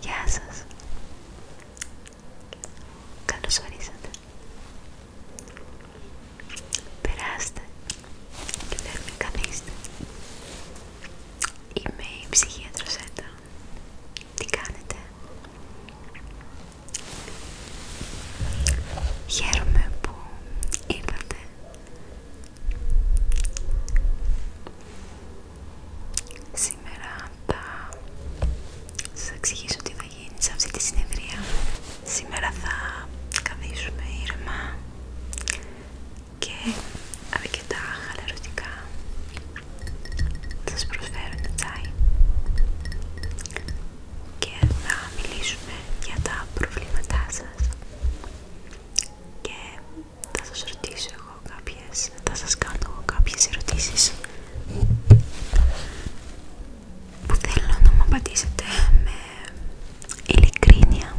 Γεια σας. Καλώς ορίσατε. Περάστε και Είμαι η ψυχίατρος Έτα. Τι κάνετε? Χαίρομαι που ήρθατε. Σήμερα θα σας εξηγήσω τι θα γίνει σε αυτή τη συνεδρία. Σήμερα θα καθίσουμε ήρεμα και αρκετά χαλαρωτικά θα σας προσφέρω ένα τσάι και θα μιλήσουμε για τα προβλήματά σας και θα σας ρωτήσω εγώ κάποιες, θα σας κάνω εγώ κάποιες ερωτήσεις που θέλω να μου απαντήσετε με ειλικρίνεια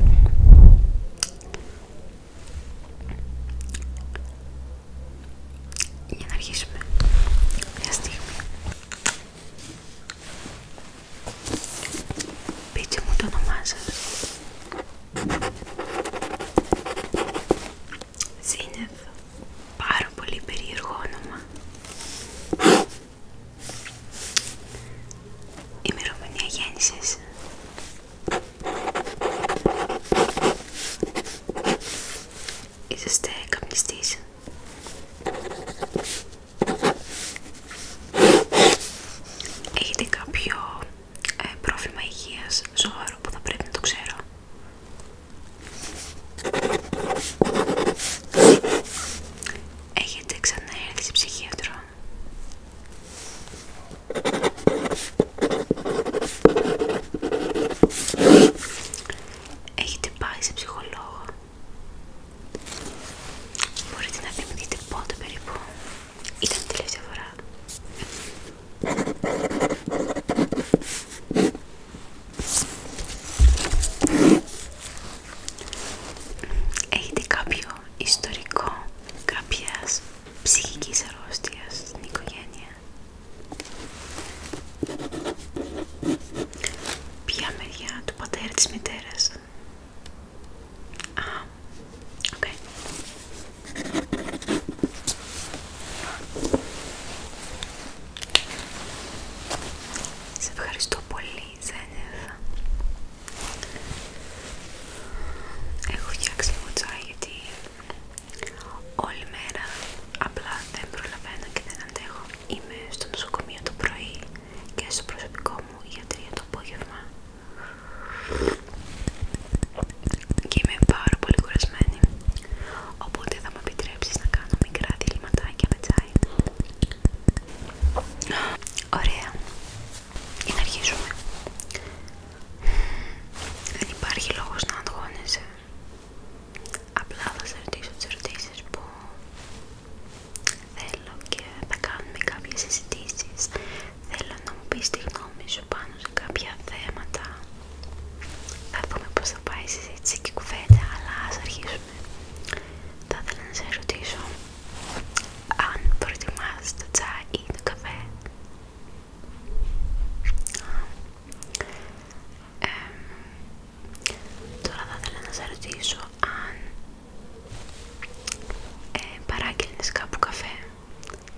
για να αρχίσουμε μια στιγμή πείτε μου το όνομά σας Σύννεφ, πάρα πολύ περίεργο όνομα. Ημερομηνία γέννησης. Είσαστε καπνιστής. Έχετε κάποιο ε, πρόβλημα υγείας σοβαρό που θα πρέπει να το ξέρω. Έχετε ξανά έρθει σε ψυχίατρο. Έχετε πάει σε ψυχολόγο. Μπορείτε να θυμηθείτε πότε περίπου. Ήταν η τελευταία φορά. Έχετε κάποιο ιστορικό κάποιας ψυχικής αρρώστιας στην οικογένεια. Ποια μεριά του πατέρα της μητέρας. Α, σε ευχαριστώ πολύ, Ζένεφ. Έχω φτιάξει λίγο τσάι γιατί όλη μέρα απλά δεν προλαβαίνω και δεν αντέχω. Είμαι στο νοσοκομείο το πρωί και στο προσωπικό μου γιατρία το απόγευμα και είμαι πάρα πολύ κουρασμένη οπότε θα μου επιτρέψεις να κάνω μικρά δειλματάκια με τσάι Ωραία, για να αρχίσουμε Δεν υπάρχει λόγος να αντγώνεσαι Απλά θα σε ρωτήσω τις ερωτήσεις που θέλω και θα κάνουμε κάποιες συζητήσεις Θέλω να μου πεις τη γνώμη σου πάνω σε κάποια θέματα. Θα δούμε πώς θα πάει η συζήτηση και η αλλά ας αρχίσουμε. Θα ήθελα να σε ρωτήσω αν προτιμάς το τσάι ή το καφέ. τώρα θα ήθελα να σε ρωτήσω αν ε, παράγγελνες κάπου καφέ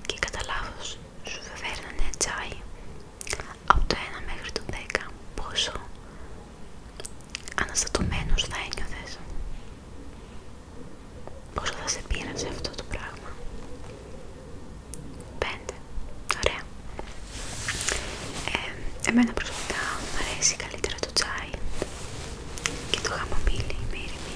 και κατά λάθος σου φέρνανε τσάι από το 1 μέχρι το 10 πόσο αναστατωμένος θα ένιωθες πόσο θα σε πείραζε αυτό το πράγμα 5 ωραία ε, εμένα προσωπικά μου αρέσει καλύτερα το τσάι και το χαμομήλι με ηρεμή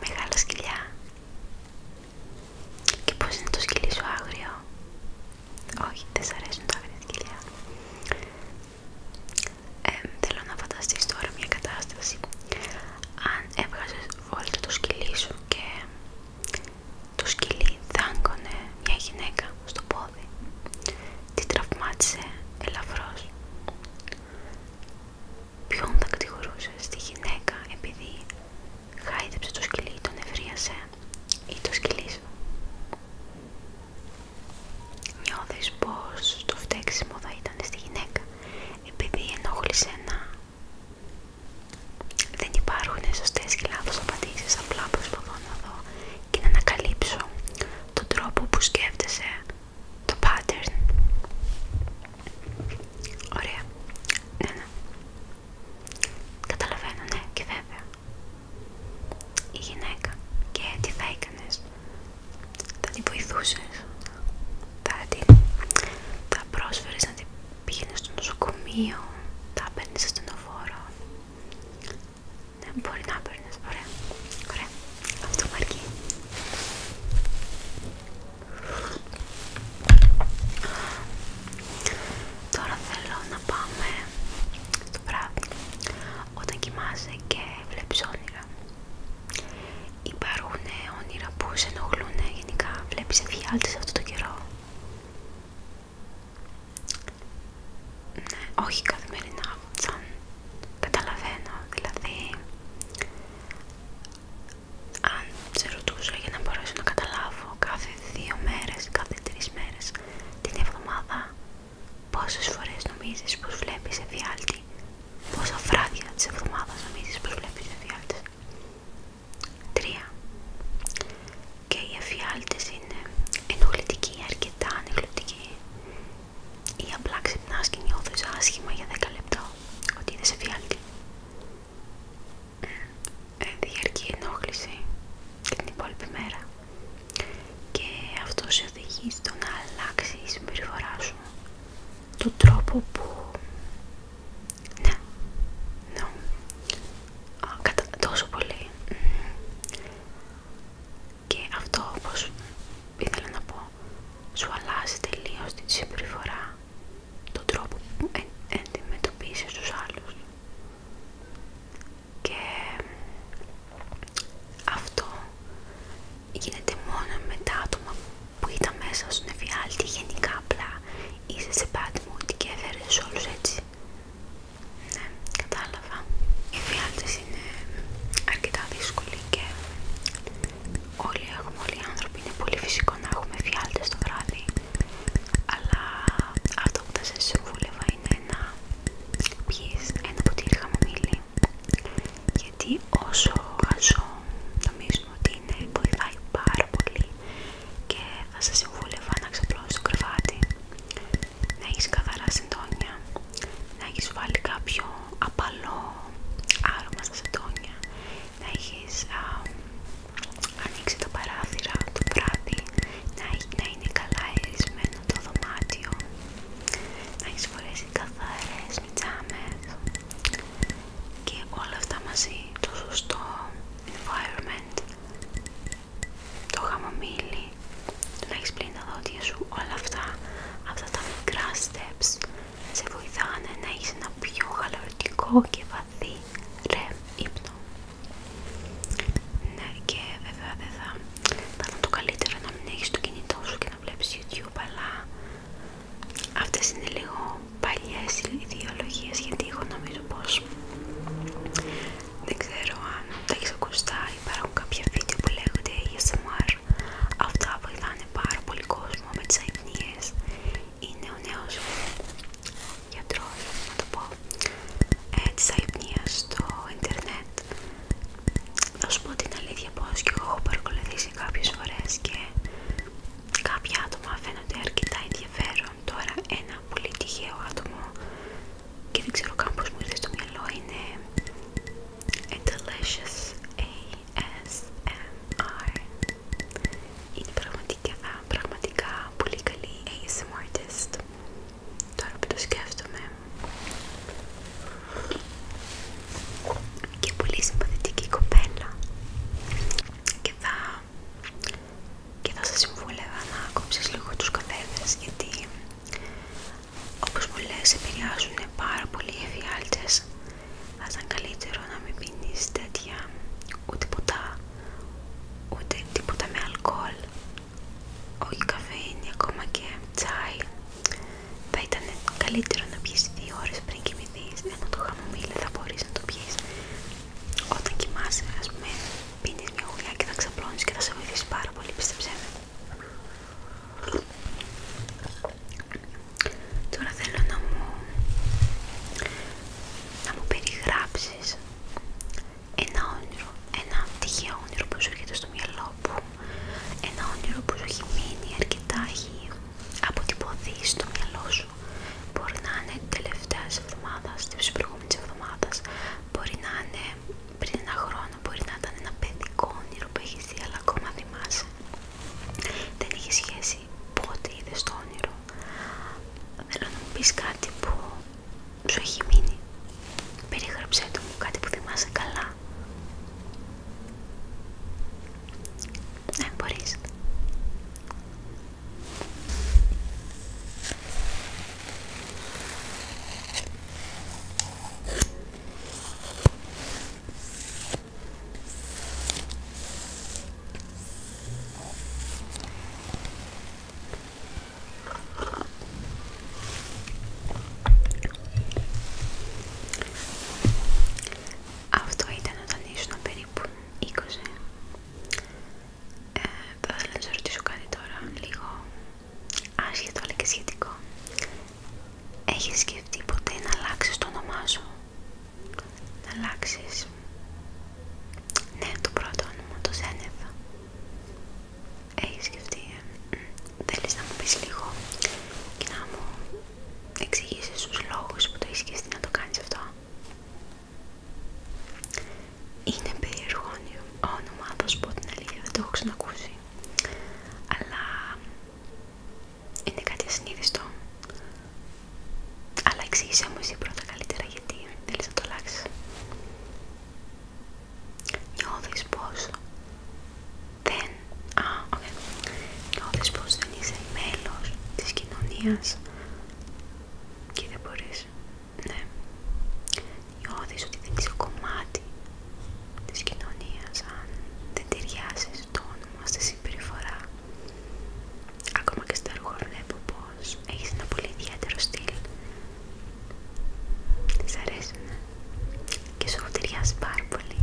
Μεγάλα σκυλιά. Και πώς είναι το σκυλί σου άγριο. Όχι, δεν σ' αρέσουν τα άγρια σκυλιά. θέλω να φανταστείς τώρα μια κατάσταση. Αν έβγαζες βόλτα το σκυλί σου και το σκυλί δάγκωνε μια γυναίκα στο πόδι. Τη τραυμάτισε ελαφρώς. Ποιον θα κατηγορούσε, τη γυναίκα επειδή χάιδεψε το σκυλί ή τον ευρίασε ή το σκυλί σου. Νιώθεις πως το φταίξιμο θα ήταν στη γυναίκα επειδή ενόχλησε να Δεν υπάρχουν σωστές και λάθος απαντήσεις, απλά προσπαθώ να δω και να ανακαλύψω τον τρόπο που σκέφτεσαι το pattern. Ωραία. Ναι, ναι. Καταλαβαίνω, ναι, και βέβαια. Η γυναίκα. Και τι θα έκανε. Θα την βοηθούσε. Θα την. Θα πρόσφερε να την πήγαινε στο νοσοκομείο. Θα παίρνει ασθενοφόρο. Ναι, μπορεί να παίρνει. Ωραία. Ωραία. Αυτό μου Τώρα θέλω να πάμε το βράδυ όταν κοιμάσαι και βλέπεις όνειρα. Υπάρχουν όνειρα που σε ενοχλούν γενικά. Βλέπεις εφιάλτης αυτό το καιρό. Ναι, όχι καθημερινά, σαν Καταλαβαίνω, δηλαδή αν σε ρωτούσα για να μπορέσω να καταλάβω κάθε δύο μέρες, κάθε τρεις μέρες την εβδομάδα πόσες φορές νομίζεις πως βλέπεις εφιάλτη πόσα βράδια της εβδομάδα νομίζεις πως βλέπεις εφιάλτη; τρία και οι εφιάλτες είναι ενοχλητικοί, αρκετά ενοχλητικοί ή απλά ξυπνάς και νιώθεις άσχημα για 10 λεπτά ότι είδες εφιάλτη. Διαρκή ενόχληση την υπόλοιπη μέρα. Και αυτό σε οδηγεί στο να αλλάξει η συμπεριφορά σου. Τον τρόπο που... Ναι, ναι, κατά τόσο πολύ. Και αυτό όπως ήθελα να πω σου αλλάζει τελείως την συμπεριφορά, τον τρόπο που αντιμετωπίζεις τους άλλους. Και αυτό γίνεται μόνο με τα άτομα που ήταν μέσα στον εφιάλτη γενικά απλά είσαι σε πάτη μου και έφερες όλους έτσι. Ναι, κατάλαβα. Οι εφιάλτες είναι αρκετά δύσκολοι και Όλοι έχουμε, όλοι οι άνθρωποι είναι πολύ φυσικό να έχουμε φιάλτες το βράδυ. Αλλά αυτό που θα σας συμβούλευα είναι να πιείς ένα ποτήρι χαμομήλι. Γιατί όσο χαζό νομίζουμε ότι είναι, βοηθάει πάρα πολύ και θα σας συμβούλευα να ξαπλώσεις το κρεβάτι, να έχεις καθαρά συντόνια, να έχεις βάλει κάποιο απαλό άρωμα στα σεντόνια να έχεις ανοίξει τα παράθυρα το βράδυ να, είναι καλά αερισμένο το δωμάτιο να έχεις φορέσει καθαρές μητσάμες και όλα αυτά μαζί το σωστό environment το χαμομήλι, να έχεις πλύνει τα δόντια σου, όλα αυτά, αυτά τα μικρά steps σε βοηθάνε να είσαι ένα πιο χαλαρωτικό και βαθύ ρε ύπνο. Ναι, και βέβαια δεν θα ήταν το καλύτερο να μην έχεις το κινητό σου και να βλέπεις YouTube, αλλά αυτές είναι λίγο παλιές ιδεολογίες, γιατί εγώ νομίζω πως δεν ξέρω αν τα έχεις ακουστά, υπάρχουν κάποια βίντεο που λέγονται ASMR, αυτά βοηθάνε πάρα πολύ κόσμο με τις αϊπνίες είναι ο νέος γιατρός, να το πω, ε, της αϊπνίας στο ίντερνετ. Θα σου πω την αλήθεια πως και εγώ έχω παρακολουθήσει κάποιες φορές και κάποια άτομα φαίνονται αρκετά ενδιαφέρον. Τώρα ένα πολύ τυχαίο άτομο και δεν ξέρω καν πώς μου ήρθε στο μυαλό είναι and delicious ASMR. Είναι πραγματικά, πολύ καλή ASMR artist. Τώρα που το σκέφτομαι. Και πολύ συμπαθητική κοπέλα. Και θα, και θα σας συμβούλευα να κόψεις λίγο τους καφέδες γιατί όπως πολλές επηρεάζουν πάρα πολύ οι εφιάλτες θα ήταν καλύτερο να μην πίνεις τέτοια ούτε ποτά ούτε τίποτα με αλκοόλ όχι καφέιν ακόμα και τσάι θα ήταν καλύτερο να πιεις δύο ώρες πριν κοιμηθείς ενώ το χαμομήλι θα μπορείς να το πιεις όταν κοιμάσαι ας πούμε πίνεις μια γουλιά και θα ξαπλώνεις και θα σε βοηθήσει πάρα πολύ πιστέψέ με Τώρα θέλω να μου, να μου περιγράψεις ένα όνειρο, ένα τυχαίο όνειρο που σου έρχεται στο μυαλό μου, ένα όνειρο που σου έχει μείνει αρκετά, έχει αποτυπωθεί στο μυαλό σου. Μπορεί να είναι τελευταία εβδομάδα, τη προηγούμενη εβδομάδα, μπορεί να είναι πριν ένα χρόνο, μπορεί να ήταν ένα παιδικό όνειρο που έχει δει, αλλά ακόμα δεν είχε σχέση πότε είδε το όνειρο. Θέλω να μου κάτι που σου έχει μείνει. Περιγράψε το μου κάτι που θυμάσαι καλά. Ναι, μπορείς. Αυτό ήταν όταν ήσουν περίπου 20. Ε, θα ήθελα να σα ρωτήσω κάτι τώρα, λίγο άσχετο αλλά και σχετικό. Έχεις σκεφτεί ποτέ να αλλάξεις το όνομά σου. Να αλλάξεις. Ναι, το πρώτο όνομα, το Ζένεφα. Έχεις σκεφτεί. Ε? Θέλεις να μου πεις λίγο και να μου εξηγήσεις τους λόγους που το έχει σκεφτεί να το κάνεις αυτό. Είναι περίεργο όνομα, θα σου πω την αλήθεια, δεν το έχω ξανακούσει. Αλλά είναι κάτι ασυνείδηστο. Αλλά εξήγησέ μου εσύ πρώτα καλύτερα γιατί θέλεις να το αλλάξεις. Νιώθεις πως δεν... Α, οκ, Νιώθεις πως δεν είσαι μέλος της κοινωνίας και δεν μπορείς. Ναι. Νιώθεις ότι δεν είσαι κομμάτι της κοινωνίας αν δεν ταιριάζει το όνομα, στη συμπεριφορά. Ακόμα και στα ρούχα βλέπω πως έχεις ένα πολύ ιδιαίτερο στυλ. Της αρέσει, ναι. Και σου ταιριάζει πάρα πολύ.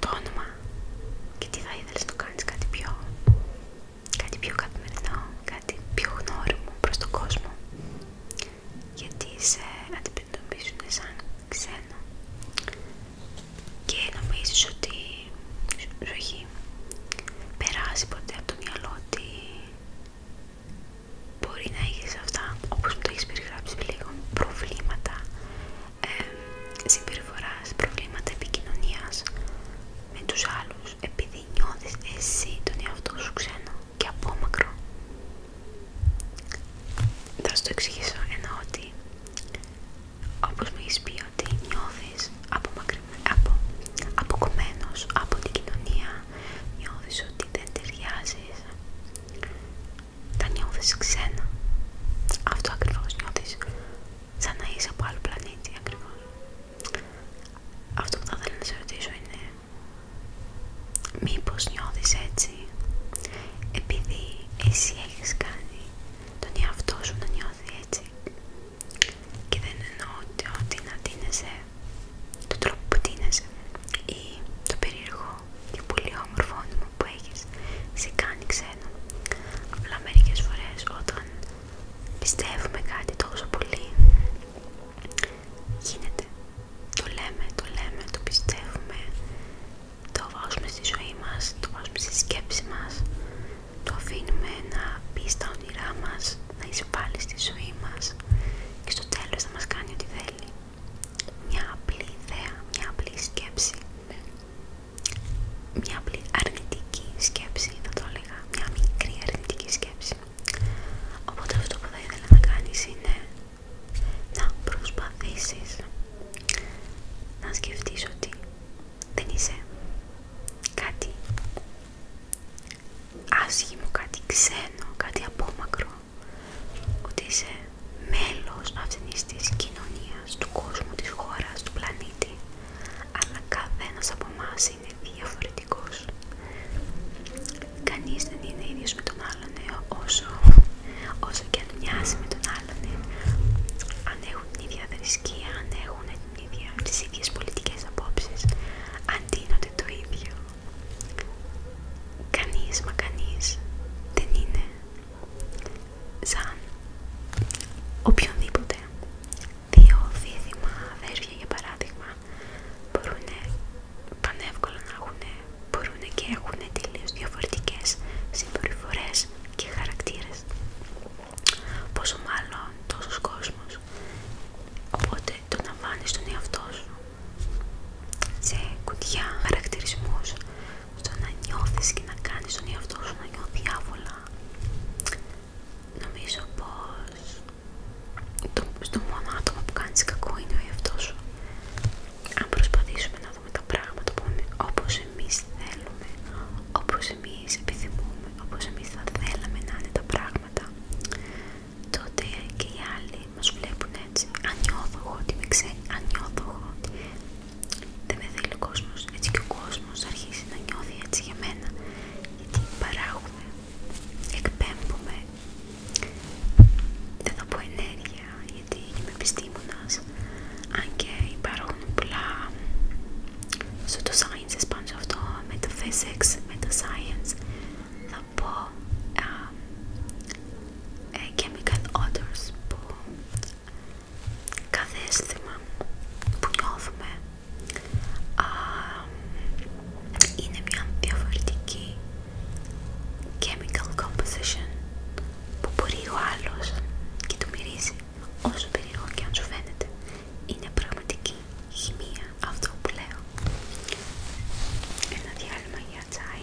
το όνομα και τι θα ήθελες να κάνεις κάτι πιο κάτι πιο καθημερινό, κάτι πιο γνώριμο προς τον κόσμο γιατί σε αντιμετωπίζουν σαν ξένο και νομίζεις ότι σου έχει περάσει ποτέ από το μυαλό ότι μπορεί να έχεις αυτά όπως μου το έχεις περιγράψει λίγο προβλήματα συμπεριφορά, συμπεριφοράς, προβλήματα επικοινωνίας με τους άλλους επειδή νιώθεις εσύ τον εαυτό σου ξένο και απόμακρο. Θα σου το εξηγήσω ενώ ότι όπως μου έχεις πει ότι νιώθεις απο, αποκομμένος από την κοινωνία, νιώθεις ότι δεν ταιριάζεις, τα νιώθεις ξένα. Αυτό ακριβώς νιώθεις, σαν να είσαι από άλλο πλανήτη αυτό που θα ήθελα να σε ρωτήσω είναι μήπως νιώθεις έτσι επειδή εσύ έχεις κάνει τον εαυτό σου να νιώθει έτσι και δεν εννοώ ότι να τίνεσαι τον τρόπο που τίνεσαι ή το περίεργο και πολύ όμορφο μου που έχεις σε κάνει ξένο απλά μερικές φορές όταν πιστεύουμε κάτι τόσο πολύ Γίνεται. Το λέμε, το λέμε, το πιστεύουμε, το βάζουμε στη ζωή μας, το βάζουμε στη σκέψη μας, το αφήνουμε να μπει στα όνειρά μας, να πάλι στη ζωή μας και στο τέλος να μας κάνει ό,τι θέλει. Μια απλή ιδέα, μια απλή σκέψη, μια απλή αρνητική σκέψη θα το έλεγα, μια μικρή αρνητική σκέψη Οπότε αυτό που θα ήθελα να κάνεις είναι να προσπαθήσεις να σκεφτείς ότι δεν είσαι κάτι άσχημο, κάτι ξένο, κάτι απόμακρο ότι είσαι μέλος αυτής της κοινωνίας, του κόσμου, της χώρας, του πλανήτη αλλά καθένας από εμά είναι διαφορετικός. Κανείς δεν είναι ίδιος με τον άλλον ε, όσο, όσο και αν μοιάζει με τον άλλον. Ε. Αν έχουν την ίδια θρησκεία, αν έχουν ίδια, τις ίδιες πολιτικές απόψεις, το ίδιο. Κανείς μα κανείς δεν είναι σαν οποιονδήποτε δύο δίδυμα αδέρφια για παράδειγμα μπορούν πανεύκολα να έχουν, μπορούν και έχουν τελείω διαφορετικές συμπεριφορές και χαρακτήρες πόσο μάλλον τόσος κόσμος οπότε το να βάλεις τον εαυτό σου σε κουτιά χαρακτηρισμούς στο να νιώθεις και να κάνεις τον εαυτό σου να νιώθει άβολα νομίζω πως το, στο μόνο άτομο που κάνεις κακό είναι ο αν προσπαθήσουμε να δούμε τα πράγματα που όπως εμείς θέλουμε όπως εμείς επιθυμούμε όπως εμείς θα θέλαμε να είναι τα πράγματα τότε και οι άλλοι μας βλέπουν έτσι αν νιώθω εγώ ότι με αν νιώθω εγώ ότι δεν με θέλει ο κόσμος έτσι και ο κόσμος αρχίζει να νιώθει έτσι για μένα γιατί εκπέμπουμε, δεν θα πω ενέργεια γιατί είμαι επιστήμονας, αν και υπάρχουν πολλά στο το πάνω σε αυτό, με το physics, με το science, θα πω ε, chemical odors που κάθε αίσθημα που νιώθουμε είναι μια διαφορετική chemical composition που μπορεί ο άλλος και το μυρίζει όσο περίεργο και αν σου φαίνεται είναι πραγματική χημεία αυτό που λέω ένα διάλειμμα για τσάι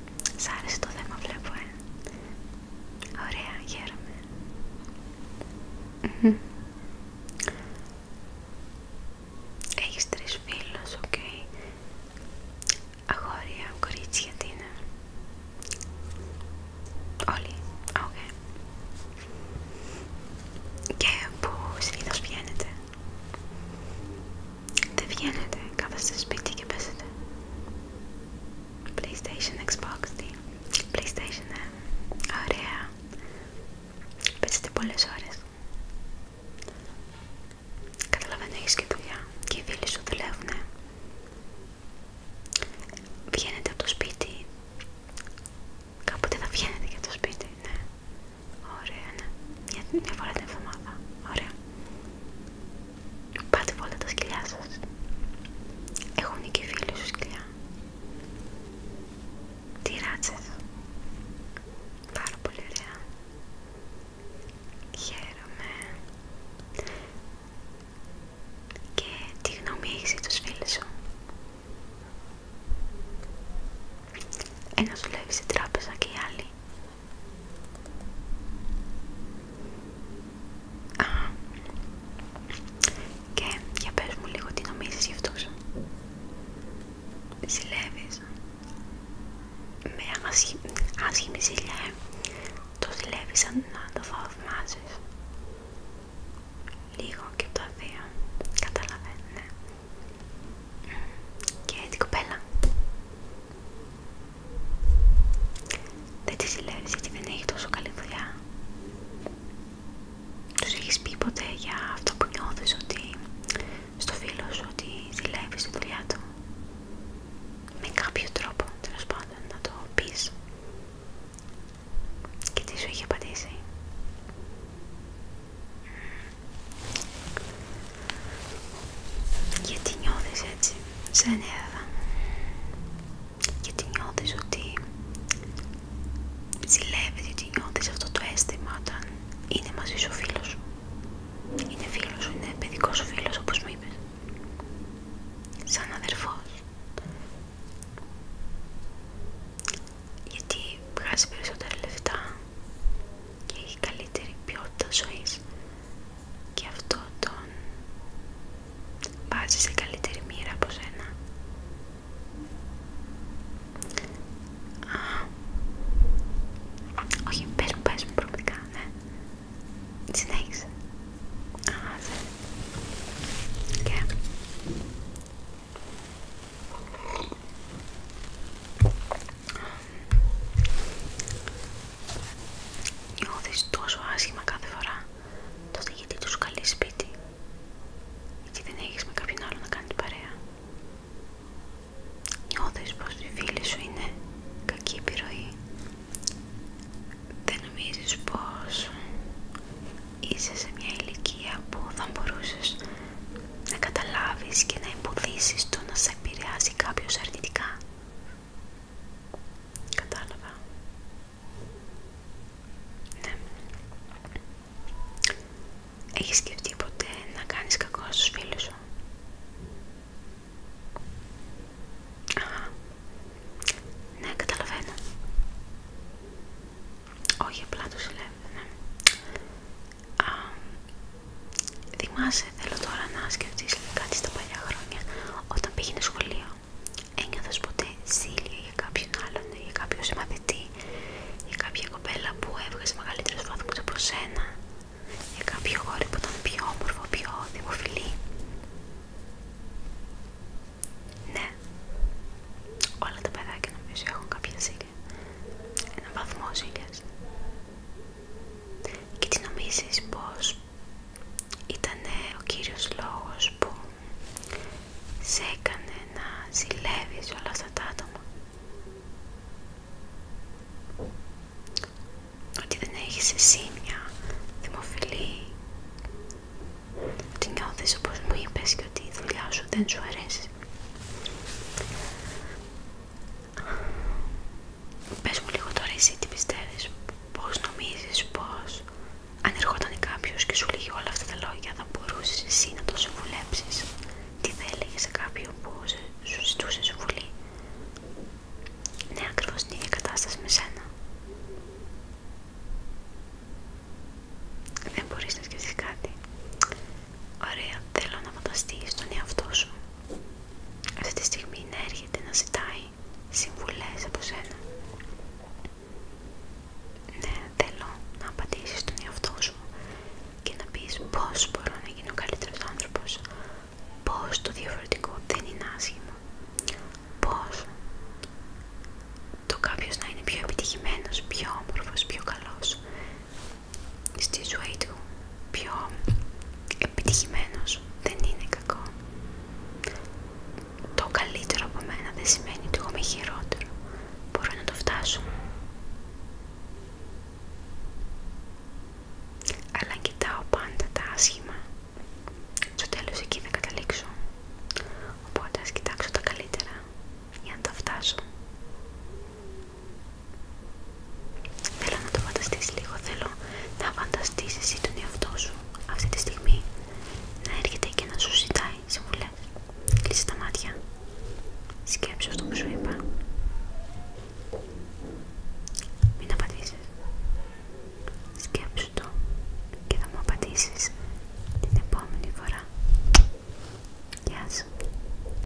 Σ' άρεσε το θέμα βλέπω, ε. Ωραία, χαίρομαι. Mm Έχεις τρεις φίλους, οκ. Αγόρια, κορίτσια, τι είναι. Όλοι, οκ. Και που συνήθως βγαίνετε. Δεν βγαίνετε, κάθεστε σπίτι και παίζετε. PlayStation, Xbox, PlayStation, ε. Ωραία. Παίζετε πολλές ώρες. Καταλαβαίνω, έχεις και δουλειά και οι φίλοι σου δουλεύουν. Βγαίνετε από το σπίτι. Κάποτε θα βγαίνετε και από το σπίτι, ναι. Ωραία, ναι. Μια, φορά την εβδομάδα. Ωραία. Πάτε βόλτα τα σκυλιά σα. Έχουν και φίλοι σου σκυλιά. Τι ράτσε. Πάρα πολύ ωραία. Χαίρομαι. Και τι γνώμη έχεις για τους φίλους σου. Ένας δουλεύει στην τράπεζα και οι άλλοι και για πες μου λίγο τι νομίζεις γι' αυτό σου. Ζηλεύεις. Με άσχημη ζήλια, ε. Το ζηλεύεις σαν να το θαυμάζεις. Λίγο και το αδεία. Καταλαβαίνω, ναι και την κοπέλα. Δεν τη συλλέγεις γιατί δεν έχει τόσο καλή δουλειά. Τους έχεις πει ποτέ για αυτό που νιώθεις ότι στο φίλο σου ότι ζηλεύεις τη δουλειά του. Με κάποιο τρόπο τέλο πάντων να το πεις. Και τι σου είχε απαντήσει. Γιατί νιώθεις έτσι, σαν Εύα. Γιατί νιώθεις ότι ζηλεύεις, γιατί νιώθεις αυτό το αίσθημα όταν είναι μαζί σου ο φίλος σου. Είναι φίλος σου, είναι παιδικός σου φίλος όπως μου είπες. Σαν αδερφός. Γιατί βγάζει περισσότερα λεφτά και έχει καλύτερη ποιότητα ζωής και αυτό τον βάζει σε καλύτερη μοίρα από σένα. Α, όχι, πες μου, πες μου προοπτικά, ναι. ναι. Και... Νιώθεις τόσο άσχημα κάθε φορά, τότε γιατί τους καλεί σπίτι γιατί δεν έχεις με κάποιον άλλο να κάνεις παρέα. Νιώθεις πως οι φίλοι σου είναι κακή επιρροή. Δεν νομίζεις πως είσαι σε μια ηλικία που θα μπορούσες να καταλάβεις και να εμποδίσεις το να σε επηρεάζει κάποιο αρνητικά. Κατάλαβα. Ναι. Έχεις σκεφτεί ποτέ να κάνεις κακό στους φίλους σου. ναι, καταλαβαίνω. Όχι, απλά τους Θυμάσαι, θέλω τώρα να σκεφτείς κάτι στα παλιά χρόνια, όταν πήγαινε σχολείο. Ένιωθες ποτέ ζήλια για κάποιον άλλον, για κάποιο μαθητή, για κάποια κοπέλα που έβγαζε μεγαλύτερους βαθμούς από σένα, για κάποιο χώρο που ήταν πιο όμορφο, πιο δημοφιλή. Ναι, όλα τα παιδάκια νομίζω έχουν κάποια ζήλια. Ένα βαθμό και τι νομίζεις πως ήταν ο κύριος λόγος που σε έκανε να ζηλεύεις όλα αυτά τα άτομα. Ότι δεν έχεις εσύ μια δημοφιλή, ότι νιώθεις όπως μου είπες και ότι η δουλειά σου δεν σου αρέσει. Πες μου λίγο τώρα εσύ τι πιστεύεις, πώς νομίζεις, πώς αν ερχόταν κάποιος και σου λέγει όλα αυτά τα λόγια θα μπορούσες εσύ να το συμβουλέψεις τι θα έλεγε σε κάποιον που σου ζητούσε συμβουλή ναι ακριβώς την ίδια κατάσταση με σένα δεν μπορείς να σκεφτείς κάτι ωραία θέλω να φανταστείς τον εαυτό σου αυτή τη στιγμή να έρχεται να ζητάει συμβουλές από σένα. Ναι, θέλω να απαντήσεις στον εαυτό σου και να πεις πώς μπορώ να γίνω καλύτερος άνθρωπος, πώς το διαφορετικό δεν είναι άσχημο, πώς το κάποιος να είναι πιο επιτυχημένος, πιο όμορφος, πιο καλός στη ζωή του πιο επιτυχημένος δεν είναι κακό το καλύτερο από μένα δεν σημαίνει ότι εγώ είμαι χειρότερο μπορώ να το φτάσω αλλά κοιτάω πάντα τα άσχημα στο τέλος εκεί θα καταλήξω οπότε ας κοιτάξω τα καλύτερα για να τα φτάσω Θέλω να το φανταστείς λίγο, θέλω να φανταστείς εσύ τον εαυτό σου αυτή τη στιγμή να έρχεται και να σου ζητάει Συμβουλέ Κλείσε τα μάτια, σκέψου αυτό που σου είπα. Μην απαντήσεις. Σκέψου το και θα μου απαντήσεις την επόμενη φορά. Γεια